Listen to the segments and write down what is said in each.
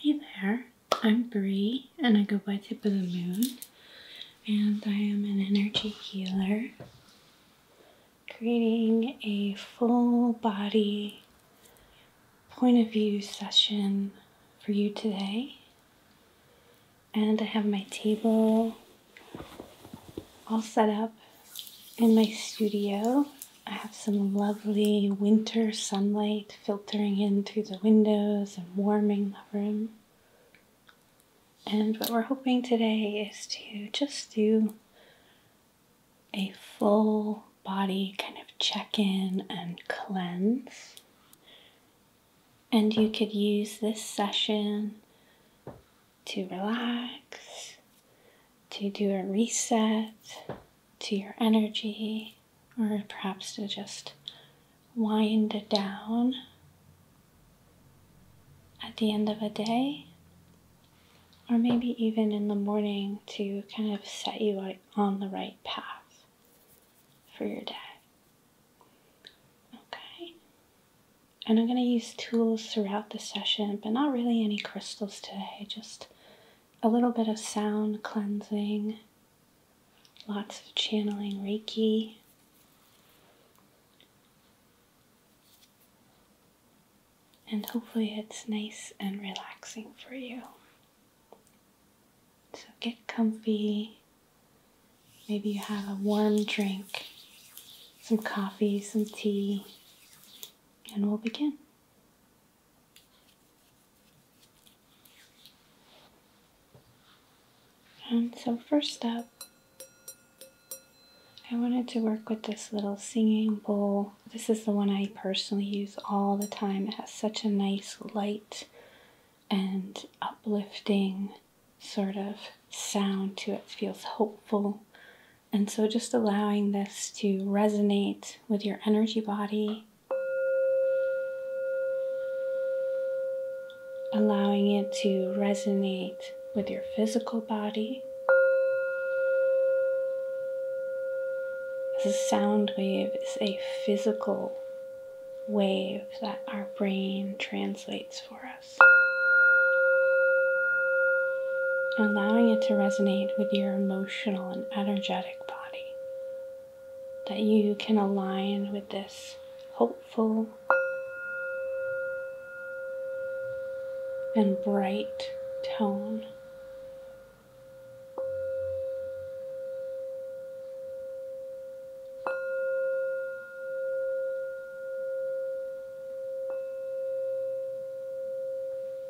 Hey there, I'm Bree and I go by Tip of the Moon and I am an energy healer creating a full body point of view session for you today and I have my table all set up in my studio I have some lovely winter sunlight filtering in through the windows and warming the room. And what we're hoping today is to just do a full body kind of check in and cleanse. And you could use this session to relax, to do a reset, to your energy, or perhaps to just wind it down at the end of a day, or maybe even in the morning to kind of set you on the right path for your day. Okay. And I'm going to use tools throughout the session, but not really any crystals today, just a little bit of sound cleansing, lots of channeling Reiki. And hopefully, it's nice and relaxing for you. So, get comfy. Maybe you have a warm drink, some coffee, some tea, and we'll begin. And so first up, I wanted to work with this little singing bowl. This is the one I personally use all the time. It has such a nice light and uplifting sort of sound to it. Feels hopeful and so, just allowing this to resonate with your energy body, allowing it to resonate with your physical body. The sound wave is a physical wave that our brain translates for us. Allowing it to resonate with your emotional and energetic body that you can align with this hopeful and bright tone.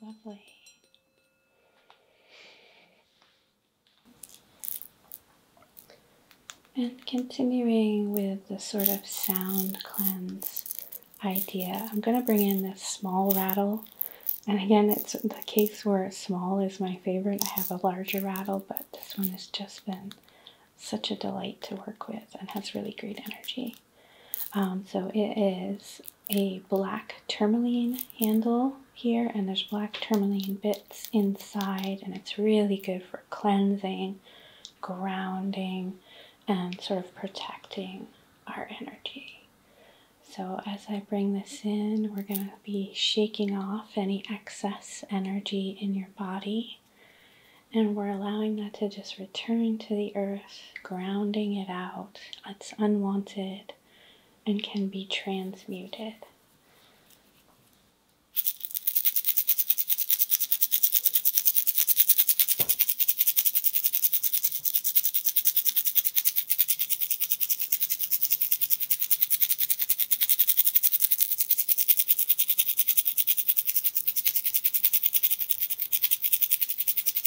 Lovely. And continuing with the sort of sound cleanse idea, I'm going to bring in this small rattle. And again, it's the case where small is my favorite. I have a larger rattle, but this one has just been such a delight to work with and has really great energy. Um, so it is a black tourmaline handle here, and there's black tourmaline bits inside, and it's really good for cleansing, grounding, and sort of protecting our energy. So, as I bring this in, we're going to be shaking off any excess energy in your body, and we're allowing that to just return to the earth grounding it out. It's unwanted and can be transmuted.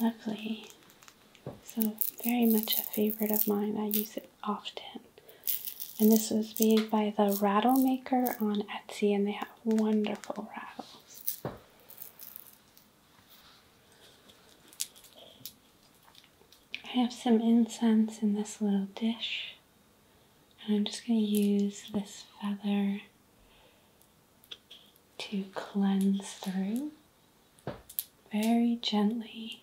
Lovely. So, very much a favorite of mine. I use it often. And this was made by the Rattle Maker on Etsy, and they have wonderful rattles. I have some incense in this little dish, and I'm just going to use this feather to cleanse through very gently.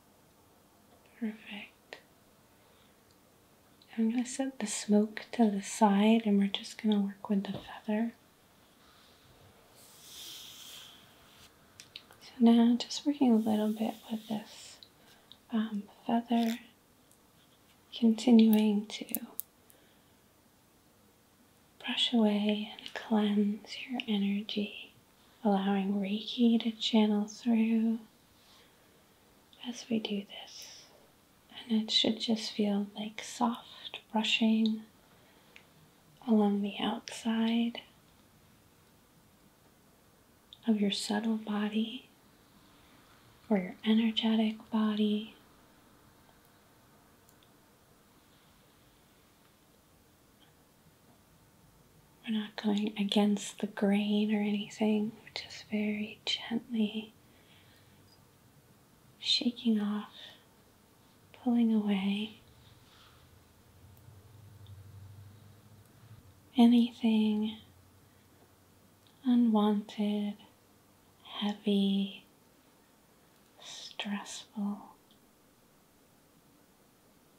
Perfect. I'm going to set the smoke to the side and we're just going to work with the feather. So now just working a little bit with this um, feather, continuing to brush away and cleanse your energy, allowing Reiki to channel through as we do this. And it should just feel like soft brushing along the outside of your subtle body or your energetic body. We're not going against the grain or anything, we're just very gently shaking off, pulling away. Anything unwanted, heavy, stressful,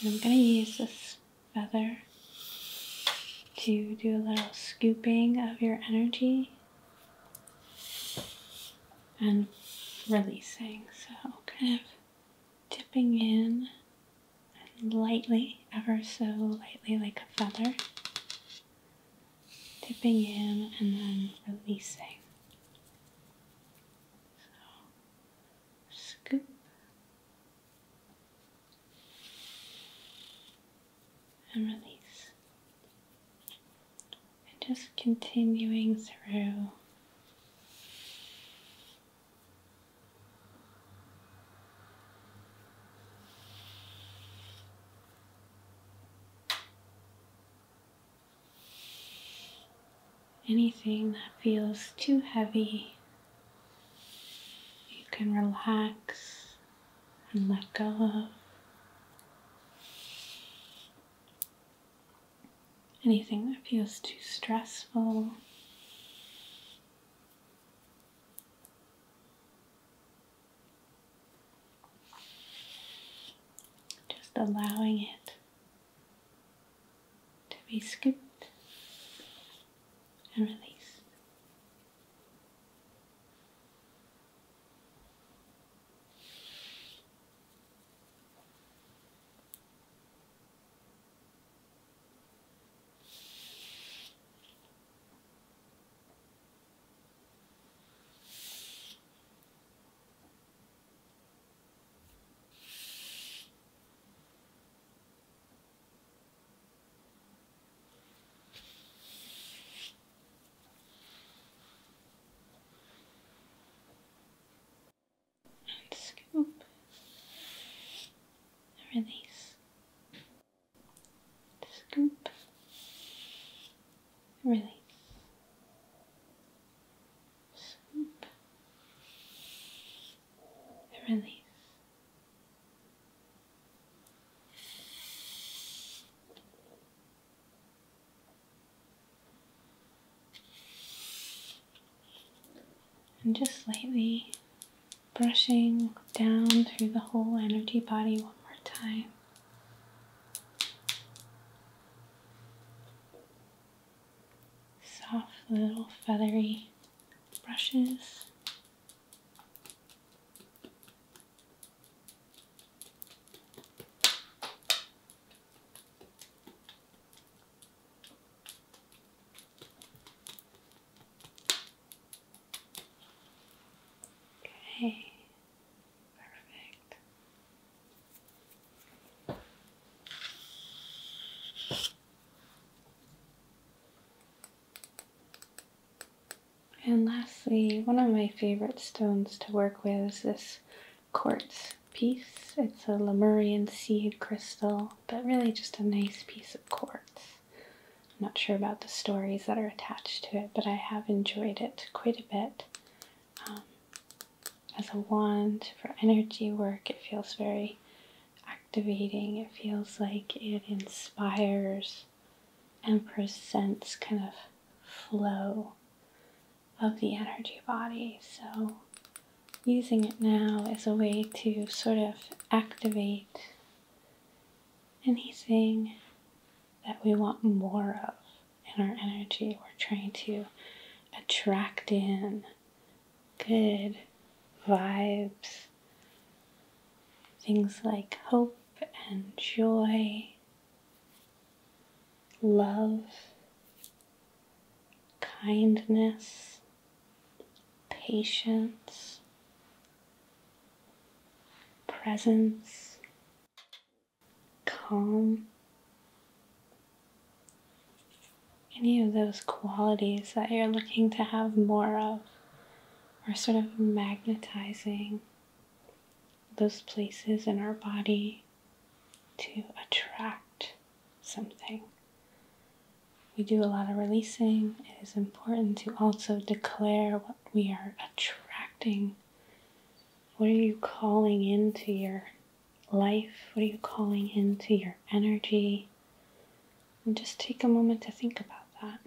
And I'm going to use this feather to do a little scooping of your energy and releasing. So kind of dipping in and lightly, ever so lightly like a feather. Dipping in and then releasing. So scoop and release. And just continuing through anything that feels too heavy, you can relax and let go Anything that feels too stressful. Just allowing it to be scooped and released and scoop release scoop release Release. And just lightly brushing down through the whole energy body one more time soft little feathery brushes. Okay, perfect. And lastly, one of my favorite stones to work with is this quartz piece. It's a Lemurian seed crystal, but really just a nice piece of quartz. I'm not sure about the stories that are attached to it, but I have enjoyed it quite a bit. Um, as a wand for energy work, it feels very activating. It feels like it inspires and presents kind of flow of the energy body. So using it now is a way to sort of activate anything that we want more of in our energy. We're trying to attract in good vibes, things like hope and joy, love, kindness, patience, presence, calm, any of those qualities that you're looking to have more of are sort of magnetizing those places in our body to attract something. We do a lot of releasing. It is important to also declare what we are attracting. What are you calling into your life? What are you calling into your energy? And just take a moment to think about that.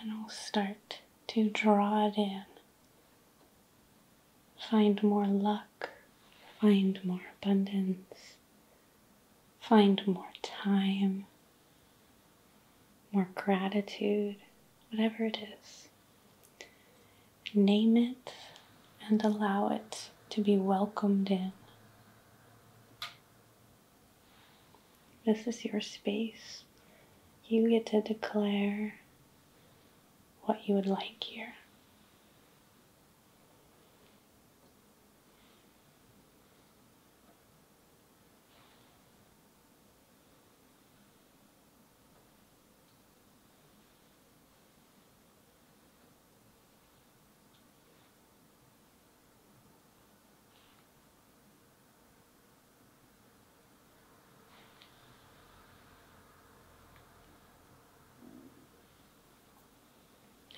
And I'll start to draw it in. Find more luck, find more abundance, find more time, more gratitude, whatever it is. Name it and allow it to be welcomed in. This is your space. You get to declare what you would like here.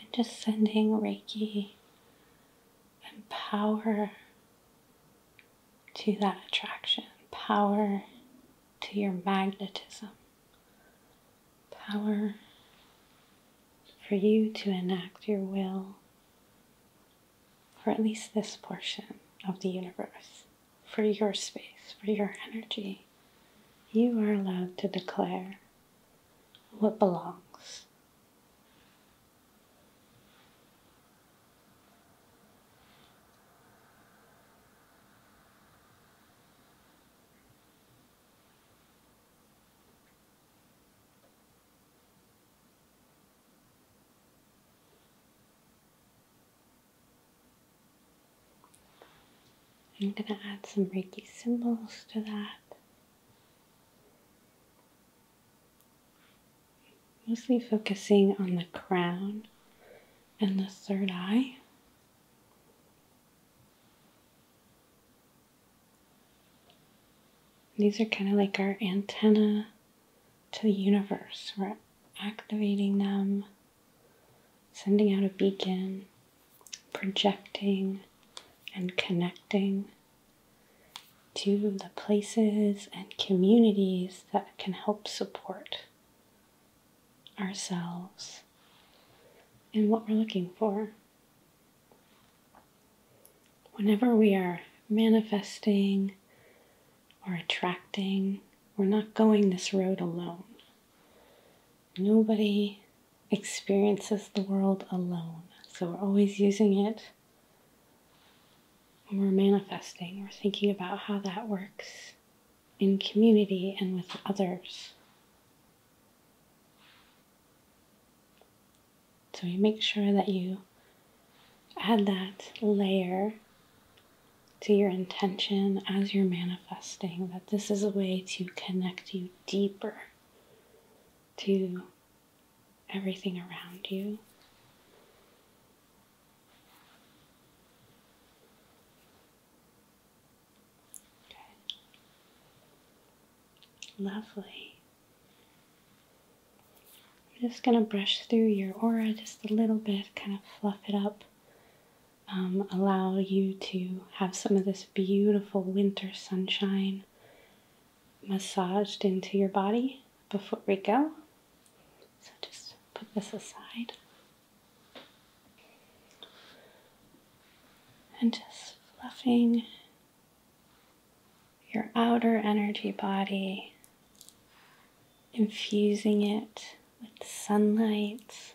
And just sending Reiki and power to that attraction, power to your magnetism power for you to enact your will or at least this portion of the universe, for your space, for your energy. You are allowed to declare what belongs. I'm going to add some Reiki symbols to that. Mostly focusing on the crown and the third eye. These are kind of like our antenna to the universe. We're activating them, sending out a beacon, projecting and connecting to the places and communities that can help support ourselves and what we're looking for. Whenever we are manifesting or attracting, we're not going this road alone. Nobody experiences the world alone. So we're always using it when we're manifesting. We're thinking about how that works in community and with others. So you make sure that you add that layer to your intention as you're manifesting, that this is a way to connect you deeper to everything around you. Lovely. I'm just going to brush through your aura just a little bit, kind of fluff it up, um, allow you to have some of this beautiful winter sunshine massaged into your body before we go. So just put this aside. And just fluffing your outer energy body, infusing it with sunlight.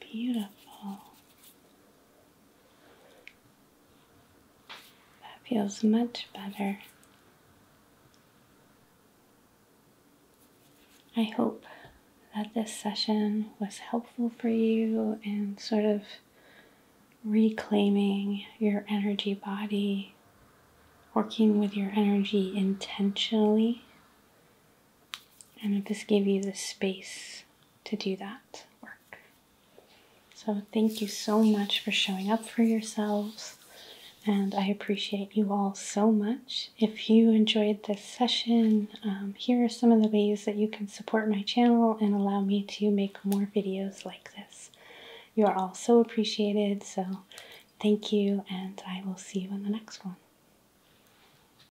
Beautiful. That feels much better. I hope that this session was helpful for you and sort of reclaiming your energy body, working with your energy intentionally and it just give you the space to do that work. So, thank you so much for showing up for yourselves, and I appreciate you all so much. If you enjoyed this session, um, here are some of the ways that you can support my channel and allow me to make more videos like this. You are all so appreciated, so thank you, and I will see you in the next one.